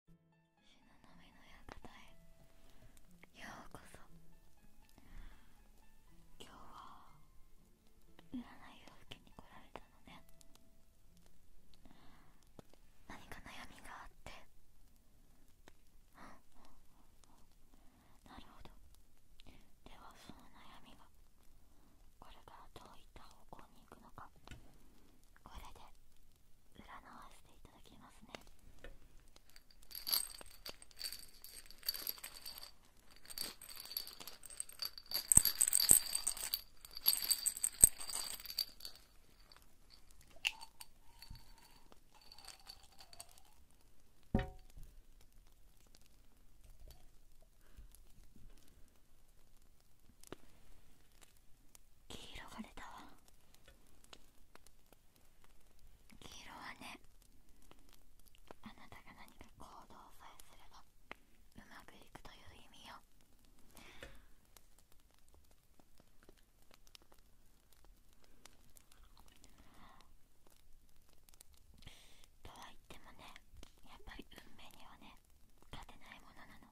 しののみの館へようこそ今日は占いを受けに来られたのね何か悩みがあってなるほどではその悩みがこれからどういった方向にに行くのかこれで占わせていただきますね黄色が出たわ黄色はねあなたが何か行動さえすればうまくいくという意味よとは言ってもねやっぱり運命にはね勝てないものなの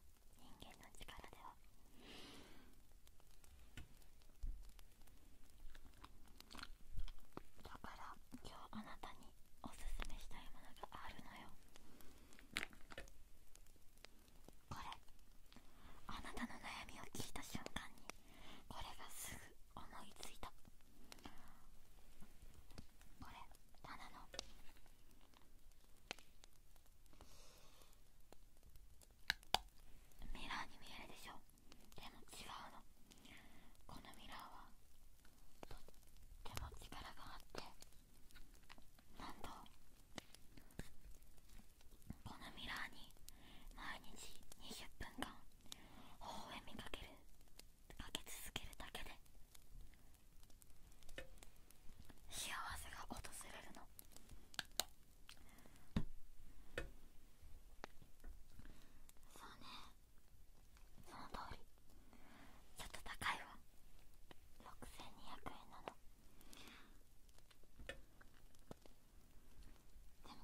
人間の力ではだから今日あなたにおすすめしたいものがあるのよこれあなたの悩みを聞いた瞬間にこれがすぐ思いついたこれただのミラーに見えるでしょでも違うのこのミラーはとっても力があってなんとこのミラーに毎日20分間微笑みかけるかけ続けるだけで幸せが訪れるのそうねその通りちょっと高いわ6200円なのでも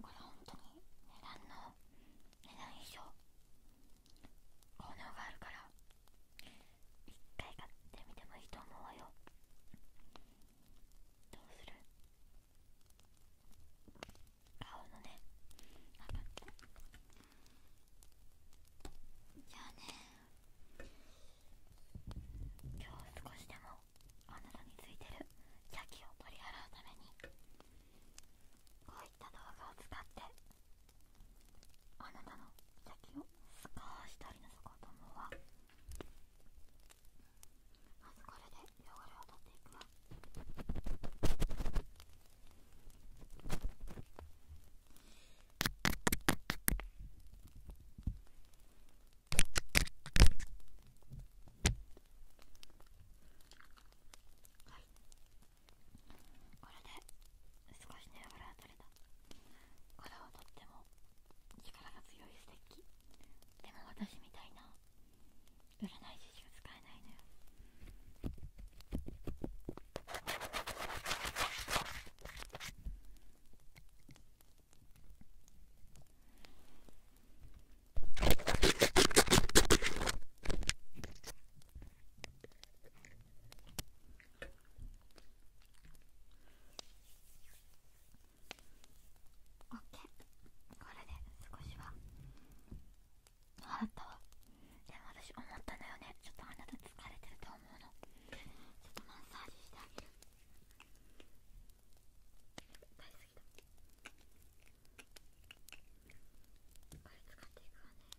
これ本当に値段の値段以上効能があるから一回買ってみてもいいと思うよどうする顔のねかっあじゃあね今日少しでもあなたについてる邪気を取り払うためにこういった動画を使ってあなたの先を少し取りなこうと思うわまずこれで汚れを取っていくわはいこれで少し汚れを取れたしたこれはとっても力が強いステッキでも私みたいな占い師しか使えないのよオッケーこれで少しはあったわでも私思ったのよねちょっとあなた疲れてると思うのちょっとマッサージしてあげる大好きだこれ使っていくわね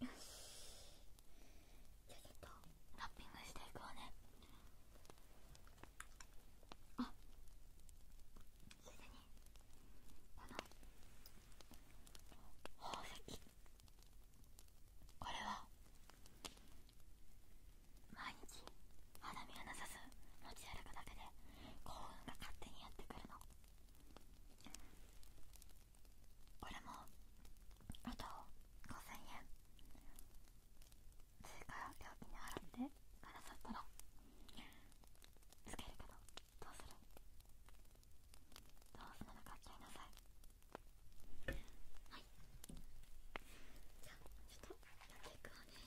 よしじゃあちょっとラッピングしていくわねあついでにこの宝石これは毎日花見がなさず持ち歩くだけで幸運が勝手にやってくるの俺もあと5000円から料金に払ってくださったらつけるけどどうするどうするのか言いなさいはいじゃあちょっとやっていくわね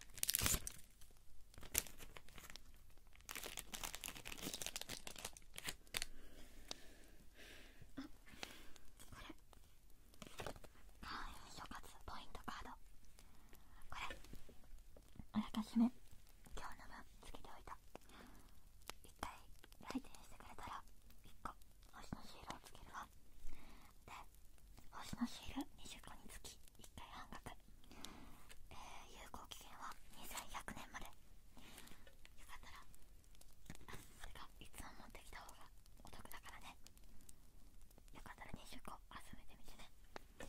これ。諸葛ポイントカードこれあらかじめ今日の分つけておいた一回来店してくれたら1個星のシールをつけるわで星のシール20個につき1回半額、えー、有効期限は2100年までよかったらそれがいつも持ってきた方がお得だからねよかったら20個集めてみてねこ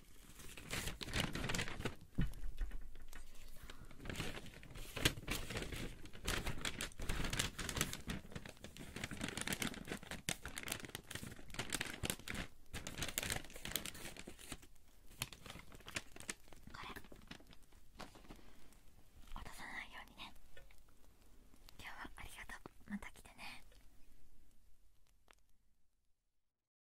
落とさないようにね今日はありがとうまた来てね